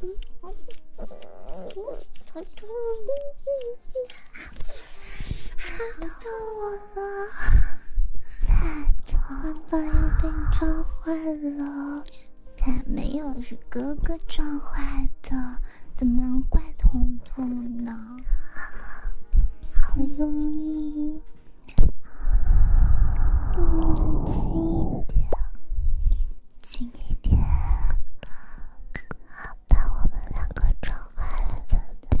嗯，彤彤，疼我了，太疼了，又被你撞坏了。它没有是哥哥撞坏的，怎么能怪彤彤呢？好用力。你近一点，近一点，好吧，我们两个撞坏了怎么办？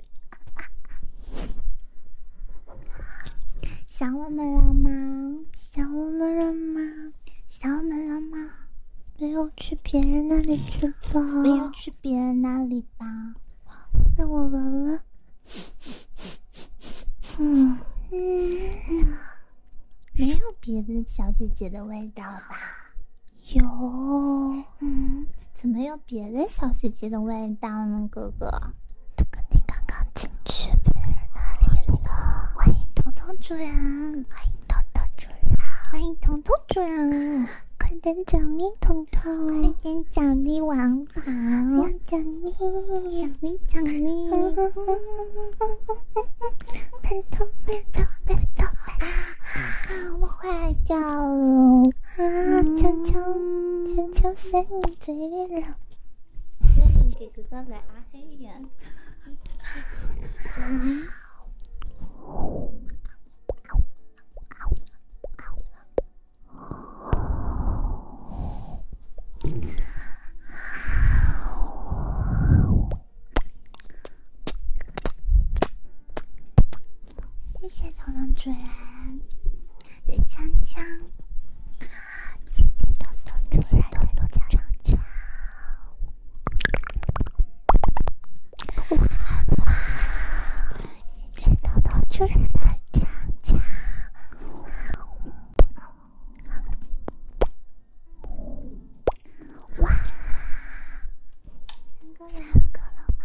想我们了吗？想我们了吗？想我们了吗？没有去别人那里去吧？没有去别人那里吧？让我闻闻。嗯嗯，没有别的小姐姐的味道吧？有，嗯，怎么有别的小姐姐的味道呢，哥哥？哥哥，你刚刚进去别人那里了。欢迎彤彤主人，欢迎彤彤主人，欢迎彤彤主人，快点奖励彤彤，快点奖励王宝，要奖励，奖励奖励，笨头笨头笨头，我坏掉了。啊，悄悄悄悄塞你嘴里了。欢迎给哥哥来阿黑呀！谢谢彤彤主人的枪枪，谢谢豆豆主人的枪枪，哇，谢谢豆豆主人的枪枪，哇，三个了吗？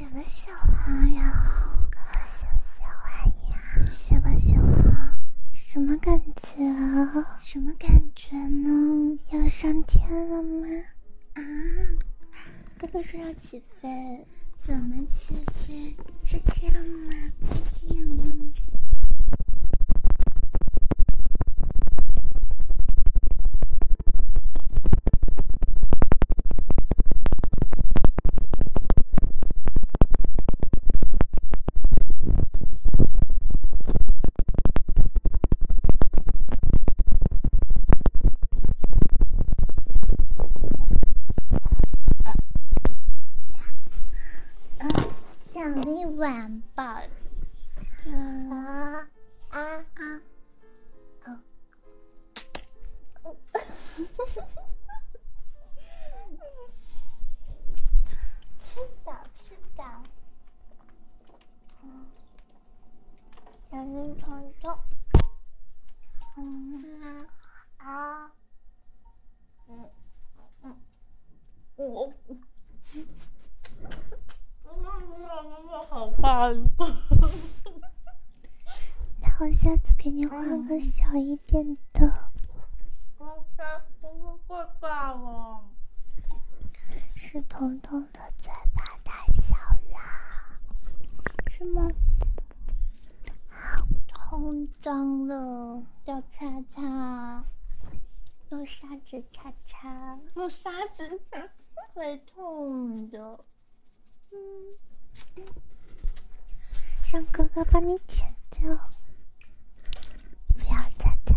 写吧，小玩然后哥哥想写欢呀。写吧，小玩什么感觉？什么感觉呢？要上天了吗？啊！哥哥说要起飞，怎么起飞？这样吗？这样吗？奖励晚报。啊啊啊啊！嗯，吃到吃到，嗯，心虫虫。啊嗯嗯嗯嗯嗯嗯。我我我。这么好画那我下次给你画个小一。变的，是彤彤的嘴巴太小了，是吗？好，痛，脏了，要擦擦，用砂纸擦擦，用砂纸会痛的。嗯，让哥哥帮你剪掉，不要再疼。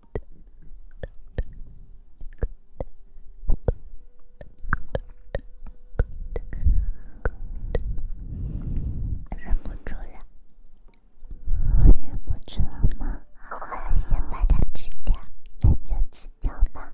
忍不住了，我忍不住了吗？我要先把它吃掉，那就吃掉吧。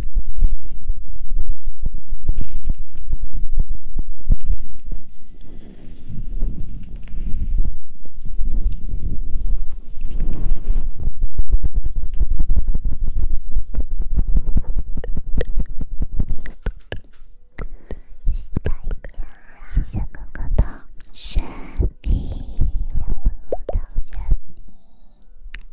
谢谢哥哥的神秘礼物的神秘。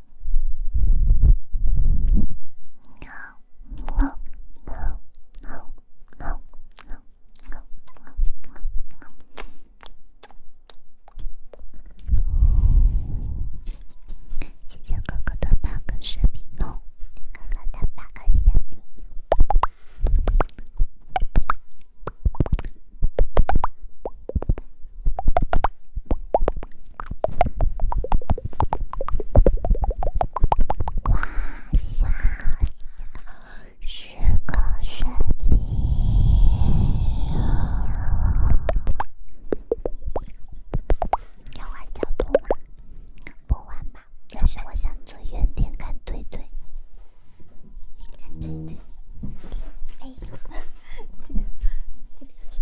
好，好，好，好，好，好，好，好，谢谢哥哥的八个视频哦，哥哥的八个视频。哇，谢谢啊！是个神经。要换角度吗？不换吧，但是我想坐远点看腿腿，你看腿腿。哎，记得，对不起。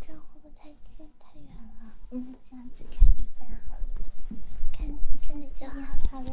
这样会不会太近太远了？嗯，这样子看一般好了，看看着就好，好了。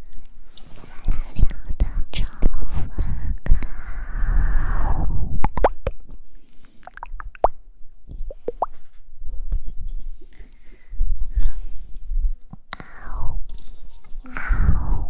小小的潮分高。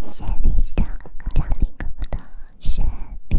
谢谢李强哥哥、张林哥哥的粉饼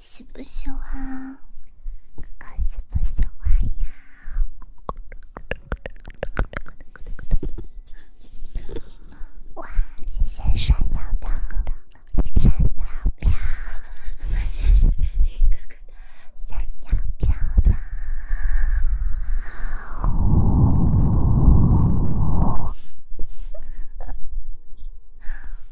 喜不喜欢？哥哥喜不喜欢呀？哇，谢谢闪耀飘的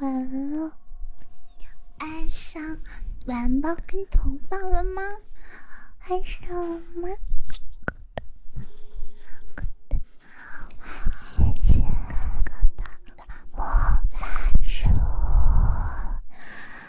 完了，爱上元宝跟头宝了吗？爱上了吗？谢谢哥哥的魔法书。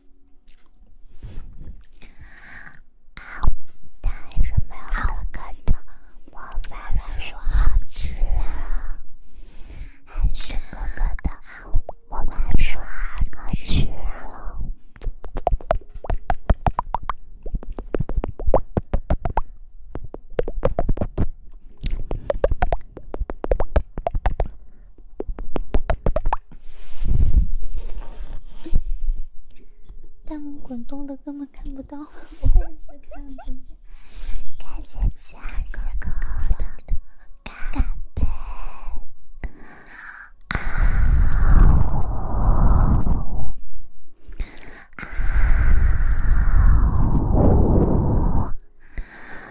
啊！但是没有哥哥的，我反而说好吃啦。还是哥哥的啊，我反而说好吃啦。弹幕滚动的根本看不到。我也是看不见。感谢家哥哥的干杯。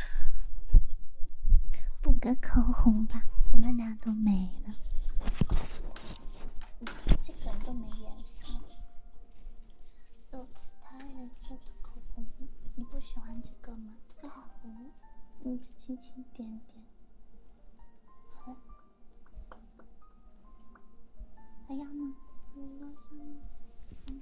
补个口红吧，我们俩都没了。这个都没颜色，有其他颜色的口红吗？你不喜欢这个吗？这个好红，你就轻轻点点。好，了，还要吗？不要嗯，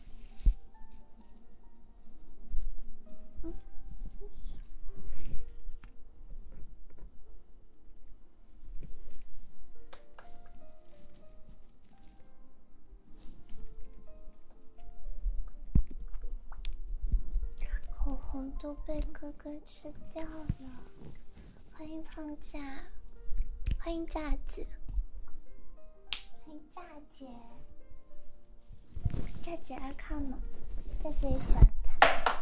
口红都被哥哥吃掉了。欢迎放假，欢迎炸子，欢迎炸子。姐，大姐爱看吗？大姐也喜欢看。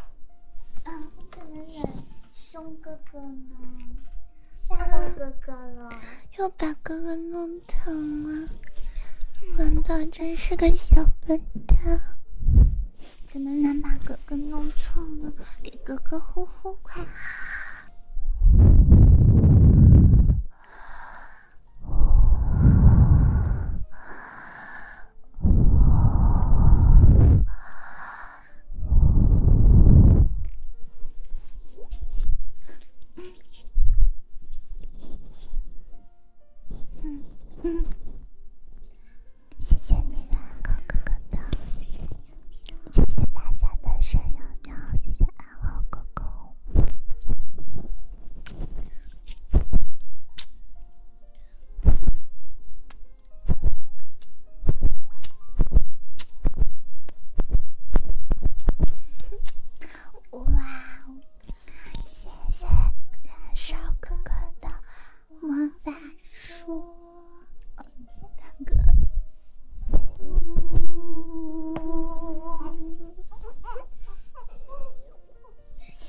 嗯，怎么男凶哥哥呢？吓到哥哥了，又把哥哥弄疼了。文道真是个小笨蛋。怎么能把哥哥弄错呢？给哥哥呼呼，快！嗯嗯，谢谢你，安好哥哥的，谢谢大家的声优喵，谢谢安好哥哥。哇哦！谢谢燃烧哥哥的魔法书，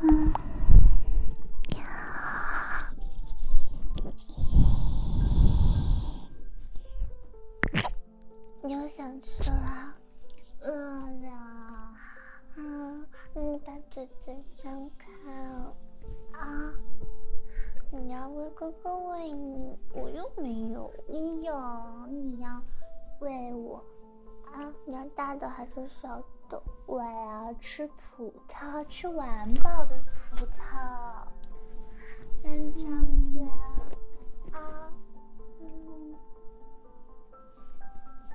嗯呀，你要生气啦？饿了，嗯，你把嘴嘴张开啊！你要喂哥哥喂你，我又没有，你有，你要喂我啊！你要大的还是小的？我要吃葡萄，吃完饱的葡萄。这张子啊，嗯。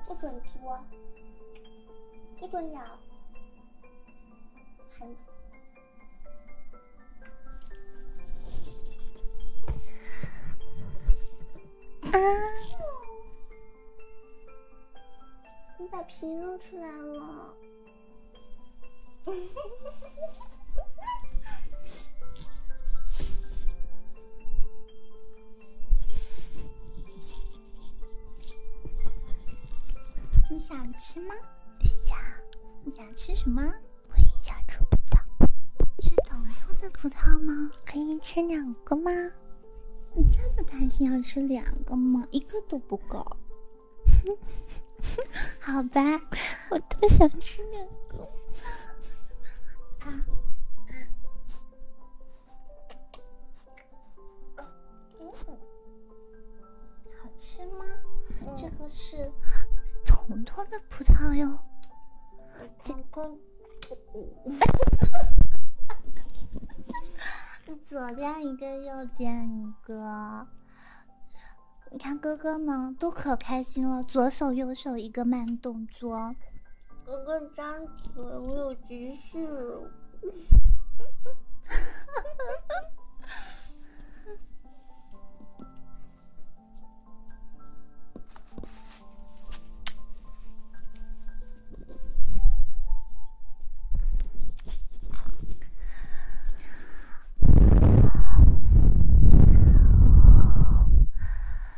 不准捉，不准咬，还……啊！你把皮弄出来了。你想吃吗？想。你想吃什么？我一下吃不到。是彤彤的葡萄吗？可以吃两个吗？你这么贪心，要吃两个吗？一个都不够。好吧，我多想吃两个。好吃吗？这个是彤彤的葡萄哟。这个，左边一个，右边一个。你看哥哥们都可开心了，左手右手一个慢动。左，哥哥张嘴，我有急事。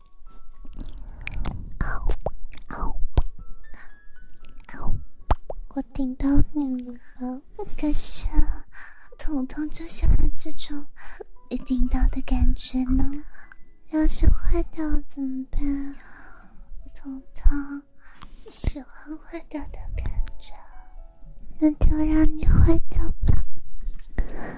我顶到你了，可是彤彤就喜欢这种被顶到的感觉呢。要是坏掉怎么办？彤彤喜欢坏掉的感觉，那就让你坏掉吧。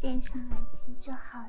戴上耳机就好了。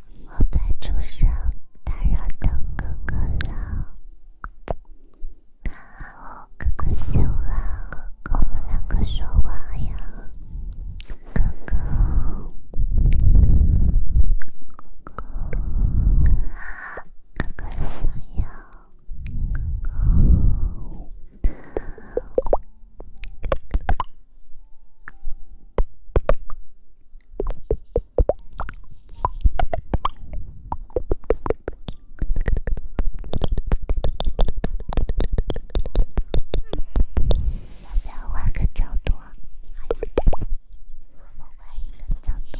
我发出声打扰到哥哥了，那好，哥哥醒了，我们两个说话呀，哥哥，哥哥，哥哥想要哥哥。要不要换个角度？我们换一个角度。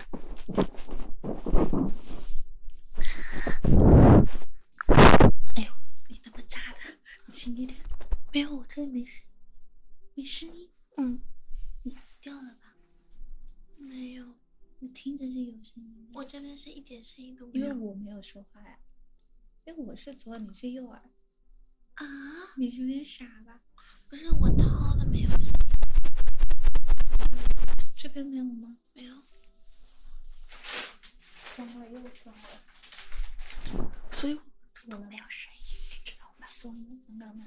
哎呦，你他妈炸的！你轻一点，没有，我这里没事，没声音。嗯，你掉了吧？没有，我听着是有声音。我这边是一点声音都没有。因为我没有说话呀，因为我是左耳，你是右耳。啊？你是不傻吧？不是，我掏的没有声音。这。真没有吗？没有，装了又装了，所以没有声音，你知道吗？所以，我们。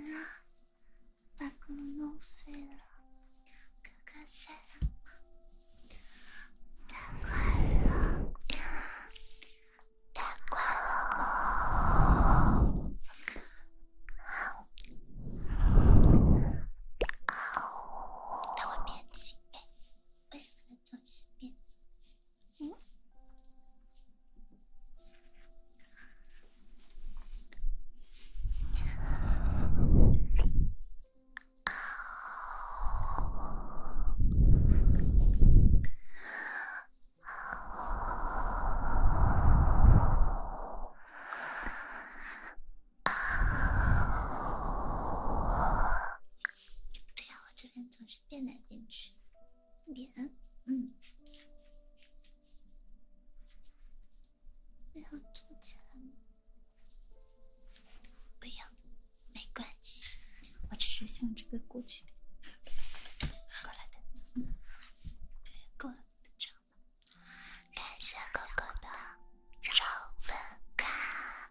完了把歌弄废了，哥哥歇了，难过了，难过了，好，好，好，好，好。为什么总是变心？嗯？啊！啊！啊！对呀，我这边总是变来变去，变，嗯。不要坐起来不要，没关系，我只是想这个过去过来的，对，过来的，这吧。感谢哥哥的招呼卡。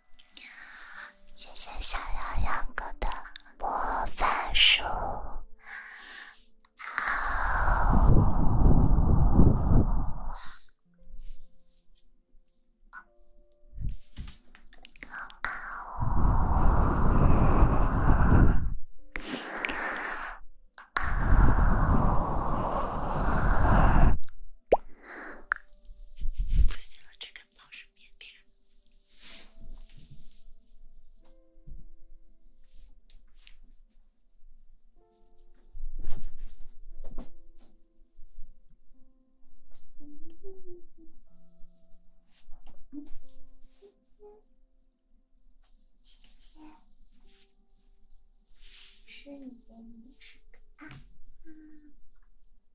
谢谢小羊羊哥的魔法书。老师腼腆，是你的拇指啊，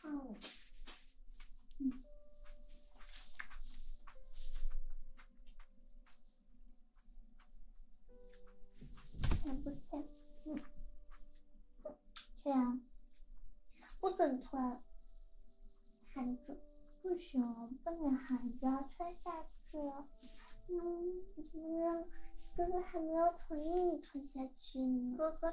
看不行，嗯，穿，不准穿，喊住，不行，不能喊住，穿下去，了。嗯，哥哥还没有同意你穿下去你哥哥。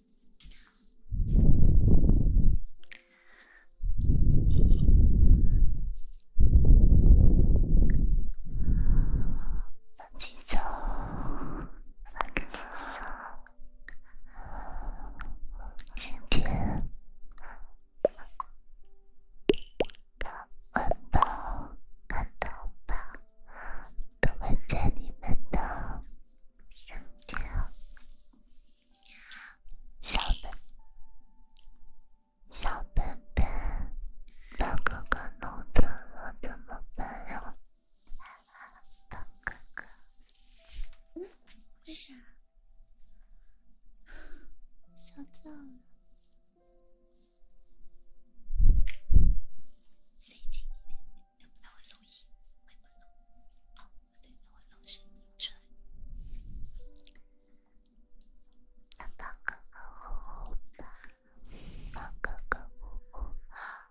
放松，放松，今天的红包、感动包都会在你们的手机上。小本，小本本，把哥哥弄丢了怎么办呀？哥哥，嗯，是，小枣，谁他不会录音，会不会录音？哦，不对，他会录音。睡。那个哥哥，那个哥哥，好。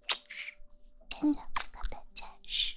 真的，大家是。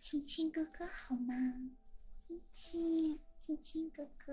亲亲哥哥好吗？亲亲，亲亲哥哥。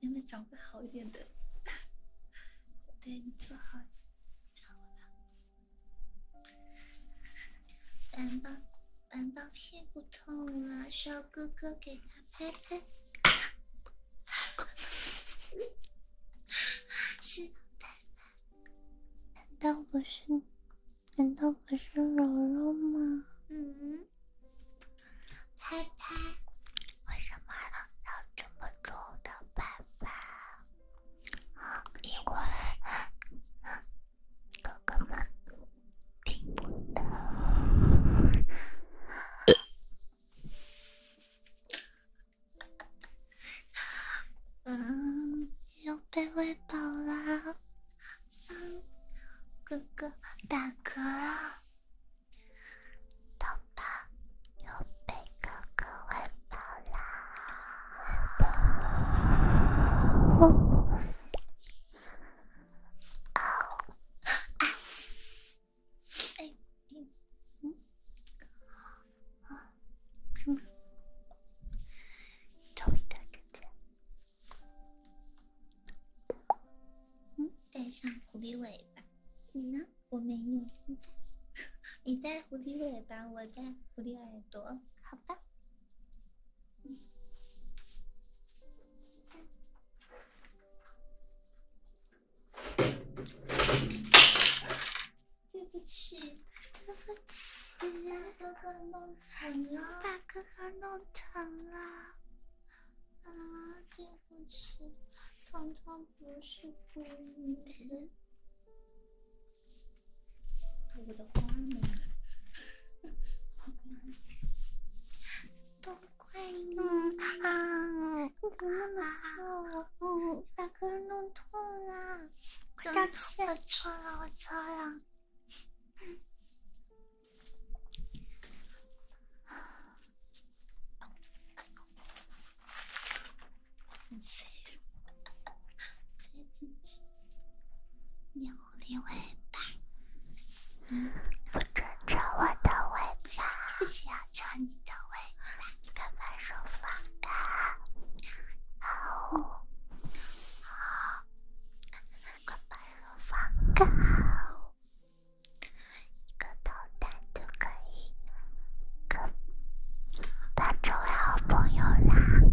你们找个好一点的。对你坐好，坐好了。元宝，元宝屁股痛了，需要哥哥给他拍拍。是拍拍？难道不是？难道不是柔柔吗？嗯。拍拍，为什么要这么重的拍拍？因为哥哥们听不到。嗯，又被喂饱啦。哥哥打嗝了。豆包又被哥哥喂饱了。啊！啊！啊！哎，嗯嗯，啊啊，嗯，准备的够呛。嗯，戴上狐狸尾。你呢？我没有。你在，狐狸蝴蝶尾巴；我在蝴蝶耳朵。好吧。对不起，对不起，把哥哥弄疼了，把哥哥弄疼了。啊，对不起，糖糖不是故意的。我的花呢？都怪你啊！你怎么打我？大哥弄痛了！对不起，我错了，我错了。牛牛尾巴，我抓着我的尾巴，就是要抓你的尾巴，快把手放开！好，好，快把手放开！一个导弹都可以，可当成为好朋友啦。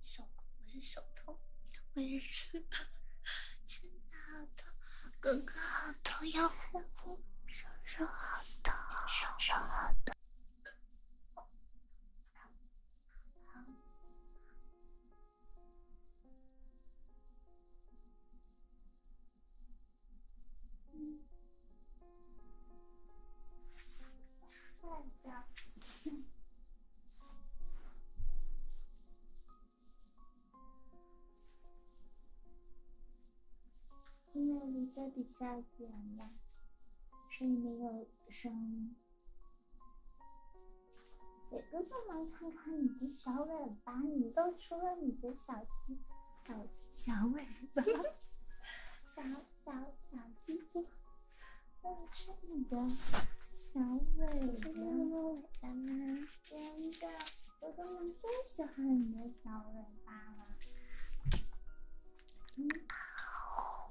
手我是手痛，我也是，真的好痛，哥哥好痛，要呼呼，叔叔好疼，叔叔好疼。因为离得比较远了，所以没有声音。哥哥们，看看你的小尾巴，你露出了你的小鸡、小小尾巴、小小小鸡鸡，露出你的小尾巴吗？真的，哥哥们最喜欢你的小尾巴了，嗯。好。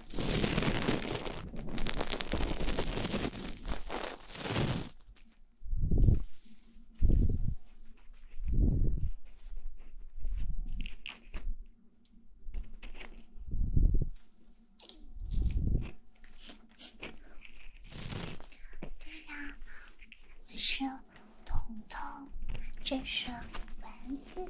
对我是彤彤，这是玩具。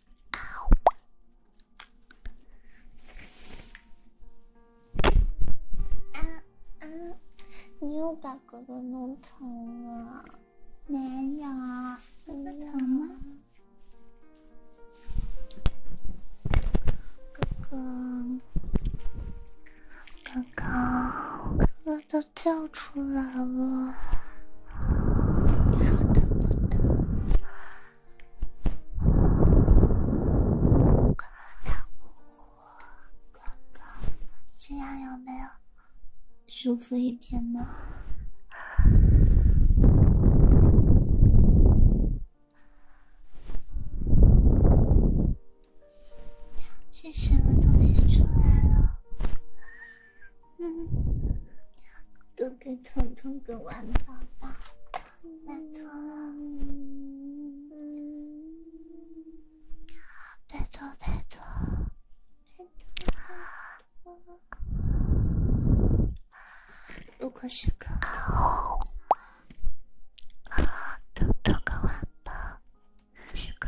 啊！啊！你又把哥哥弄疼了？没有，哥哥疼吗？哥哥，哥刚哥哥都叫出来了，你说疼不疼？刚刚大呼呼，这样有没有舒服一点呢？是什么东西出来了？嗯，都给彤彤个晚宝宝，拜托，拜托，拜托，拜托，如果是个彤彤个晚宝宝，是个。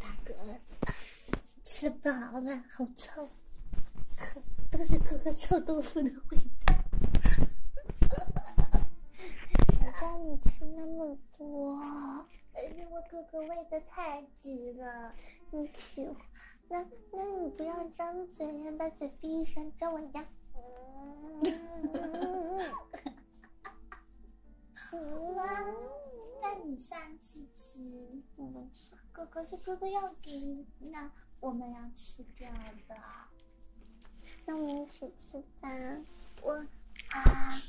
大哥，吃饱了，好臭，都是哥哥臭豆腐的味道。谁叫你吃那么多？因为我哥哥喂的太。急了，你欢，那那你不要张嘴呀，把嘴闭上，照我呀，好啊，那你上去吃。哥哥是哥哥要给，那我们要吃掉的，那我们一起吃吧。我啊。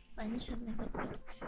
完全没有表情。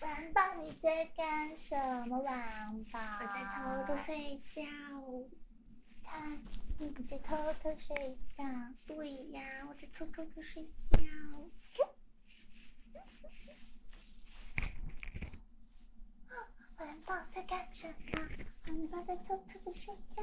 玩宝，你在干什么，玩宝？我在偷偷睡觉。他，你在偷偷睡觉？对呀，我在偷偷的睡觉。玩宝在干什么？玩宝在偷偷的睡觉。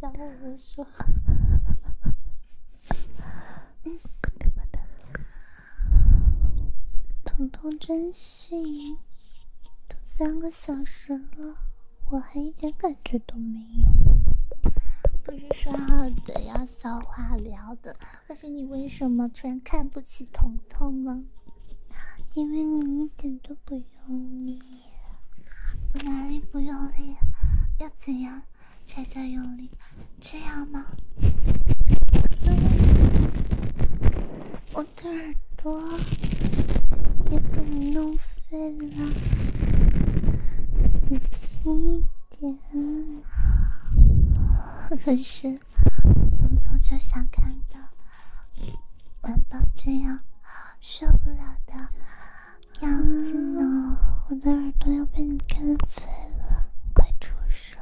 他教我说，嗯，彤彤真逊，都三个小时了，我还一点感觉都没有。不是说好的要消化疗的。可是你为什么突然看不起彤彤呢？因为你一点都不用力，哪里不用力？要怎样才叫用力？这样吗？我的耳朵也被你弄废了，你轻一点，可 是。统统就想看到晚宝这样受不了的样子。我的耳朵要被你干碎了，快出手！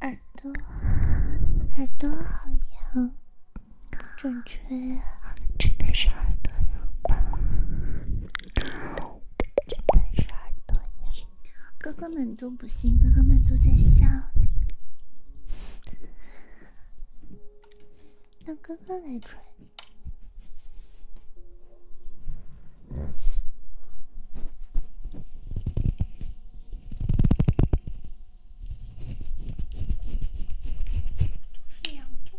耳朵，耳朵好痒。正确，真的是耳朵呀！真的是耳朵呀！哥哥们都不信，哥哥们都在笑。让哥哥来吹。就是呀，我就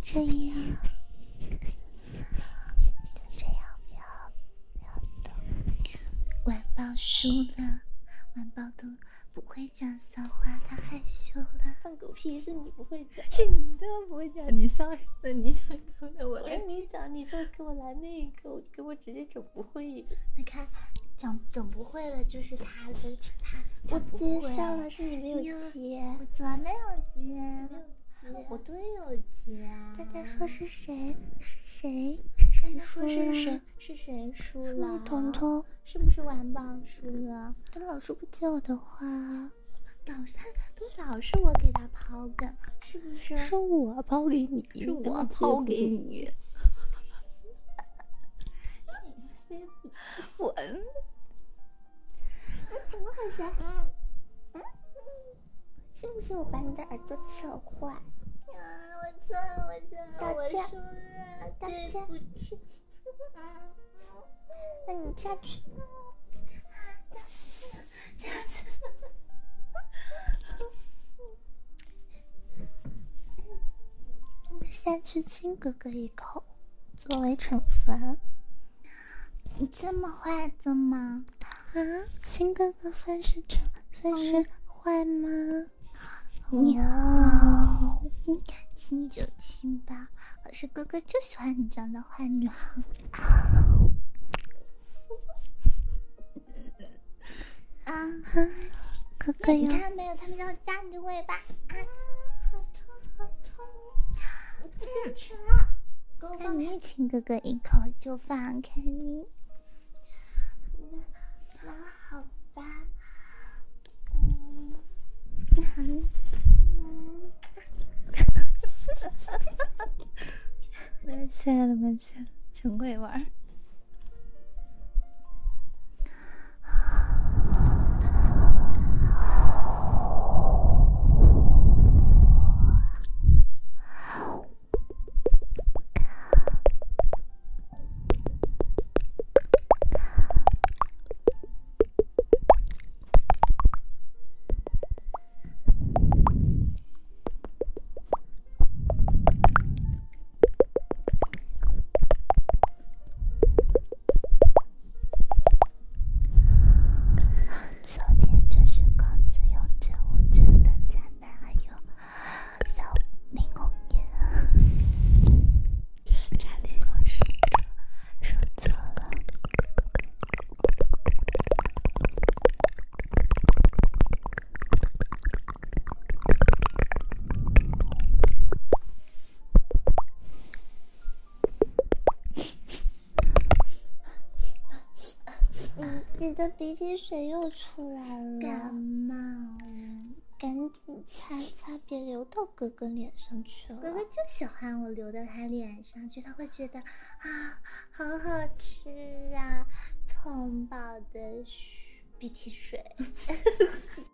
这样，就这样，不要，不要动，晚宝输了，晚宝都不会。讲骚话，他害羞了。放狗屁是你不会讲，是你都不会讲。你上，那你讲，然后呢？我你讲，你就给我来那个，给我直接整不会的。你看，整整不会的就是他，是他，我不会。接上了，是你没有接。我怎么没有接？我都有接。大家说是谁？是谁？是谁？你说是谁？是谁输了？彤彤，是不是玩宝输了？他老是不接我的话。老三都老是我给他抛的，是不是？是我抛给你，是我抛给你。滚！怎么回事？嗯嗯，信 不信我把你的耳朵扯坏？啊！我错了，我错了，我输了，道歉，对不起。那你下去，下去，下去，亲哥哥一口，作为惩罚。你这么坏的吗？啊，亲哥哥算是惩算是坏吗？牛，亲就亲吧，可是哥哥就喜欢你这样的坏女孩。啊，哥哥有。你看没有，他们要夹你尾巴。啊，好痛好痛！嗯，吃了。那你亲哥哥一口就放开你。妈，好吧，你好 了玩昨天就是公子用植物真的在哪有小林红叶。差点说错了，你的鼻涕水又出来了，感冒了，你擦擦，别流到哥哥脸上去了。哥哥就喜欢我流到他脸上去，他会觉得啊，好好吃啊，通宝的鼻涕水。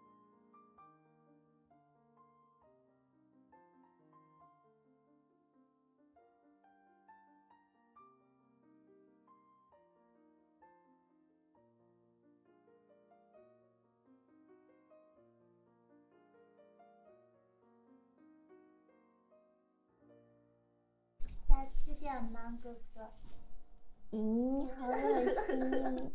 要吃点吗，哥哥？咦，好恶心。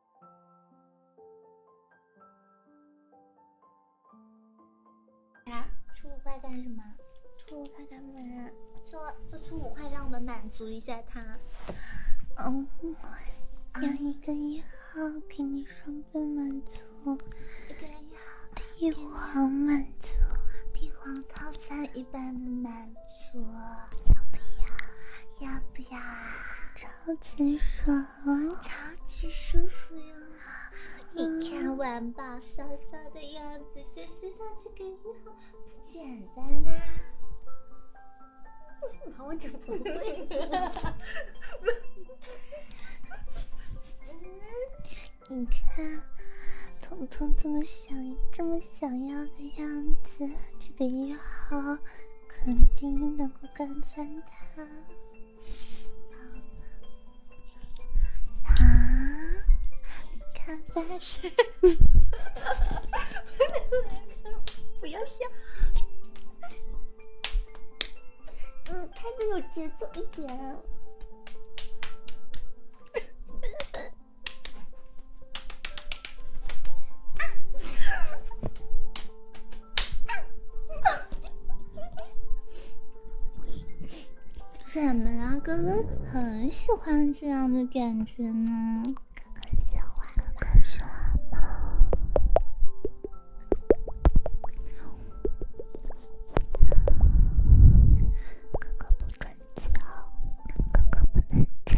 出五块干什么？出五块干嘛？说说出五块，让我们满足一下他。嗯，有一个一号给你双倍满足，一个一号，一王满足，帝王套餐一般的满足，要不要？要不要啊？超级爽！超级舒服哟！你看玩宝骚骚的样子，就知道这个一号不简单啊！我怎么不会？你看彤彤这么想，这么想要的样子，这个一号肯定能够干翻他。啊！你看，发誓，不要笑。嗯，拍的有节奏一点。怎么了？哥哥很喜欢这样的感觉呢。哥哥喜欢干什么？哥哥不准叫，哥哥不能叫。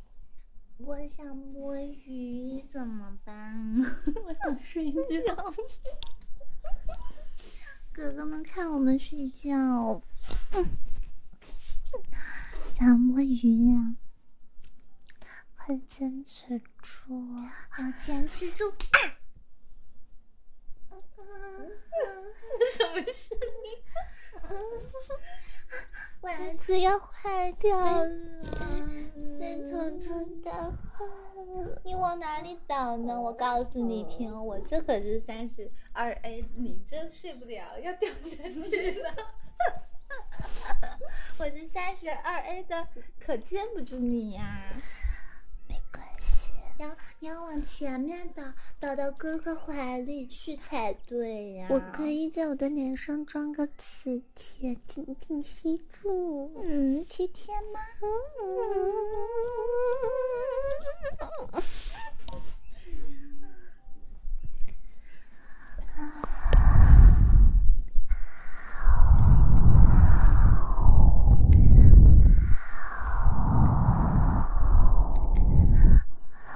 我想摸鱼怎么办？我想睡觉。哥哥们看我们睡觉，想摸鱼呀！快坚持住！要坚持住！啊！什么声音？丸 子要坏掉了，被偷偷打坏了。你往哪里倒呢？我告诉你听，我这可是三十二 A，你这睡不了，要掉下去了。哈哈哈哈哈！我是三十二 A 的，可见不住你呀。没关系，要你要往前面倒，倒到哥哥怀里去才对呀。可以在我的脸上装个磁铁，紧紧吸住，嗯，贴贴吗？啊！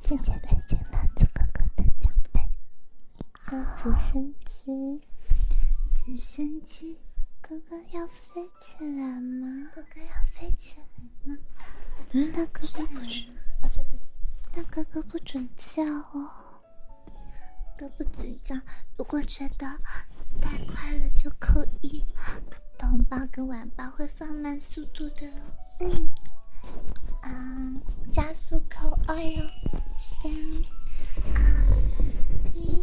谢谢纸飞机哥哥哥哥的奖杯。直升机，直升机，哥哥要飞起来吗？哥哥要飞起来吗？嗯，大哥不是。但哥哥不准叫哦，哥不准叫。如果觉得太快了，就扣一。红包跟晚报会放慢速度的。哦。嗯，啊，加速扣二哟，三二一。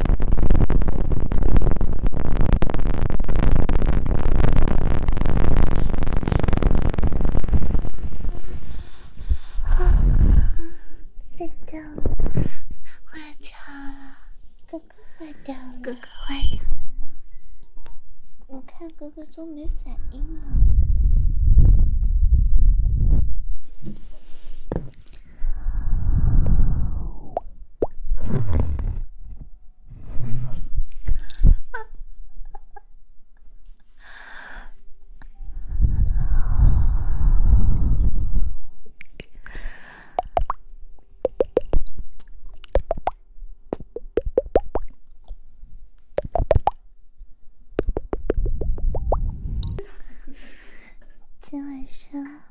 啊！睡着了，坏掉了，哥哥坏掉了，哥哥坏掉了我看哥哥都没反应了。今晚上。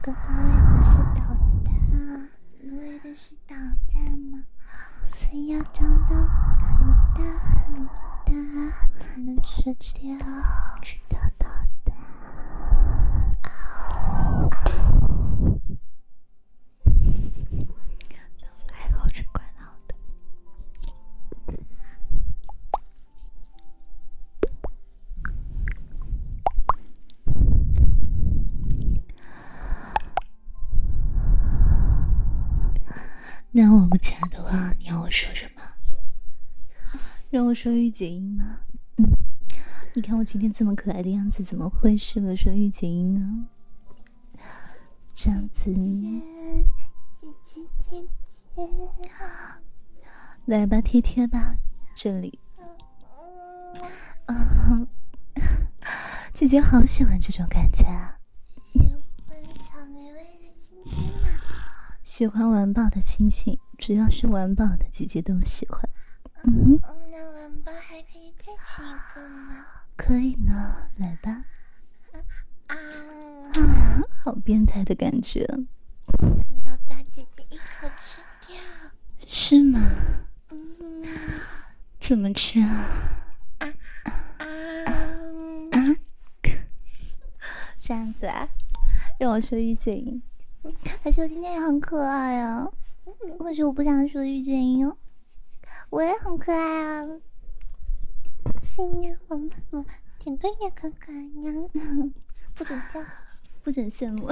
哥哥喂的是导弹你喂的是导弹吗？是要长到很大很大才能吃掉吃掉导弹？啊！就是爱吃罐头的。那我不来的话，你要我说什么？让我说御姐音吗？嗯，你看我今天这么可爱的样子，怎么会适合说御姐音呢？这样子，姐姐姐姐好，来吧贴贴吧，这里。嗯，姐姐好喜欢这种感觉啊！喜欢草莓味的亲亲吗？喜欢玩宝的亲亲，只要是玩宝的，姐姐都喜欢。嗯那玩抱还可以再亲一个吗？可以呢，来吧。啊啊！好变态的感觉。要大姐姐，一口吃。是吗？怎么吃啊？啊啊啊！这样子啊，让我说御姐音。而且我今天也很可爱呀，可是我不想说御姐音哦，我也很可爱啊，声音很甜，甜挺也很可爱，娘 不准叫。不准羡慕，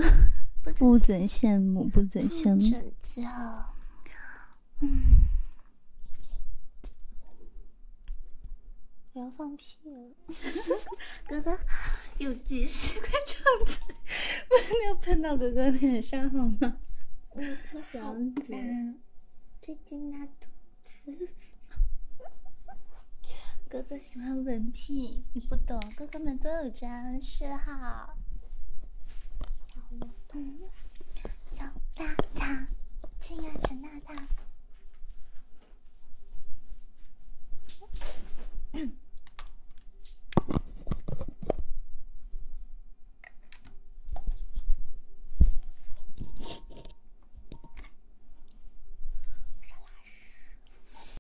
不准羡慕，不准羡慕！不准叫！嗯，我要放屁了。哥哥，有急事 快张嘴，不 要喷到哥哥脸上好吗？好。最近拉肚子，哥哥。喜欢文癖，你不懂，哥哥们都有这样的嗜好。小罗，小大大，金亚陈大大。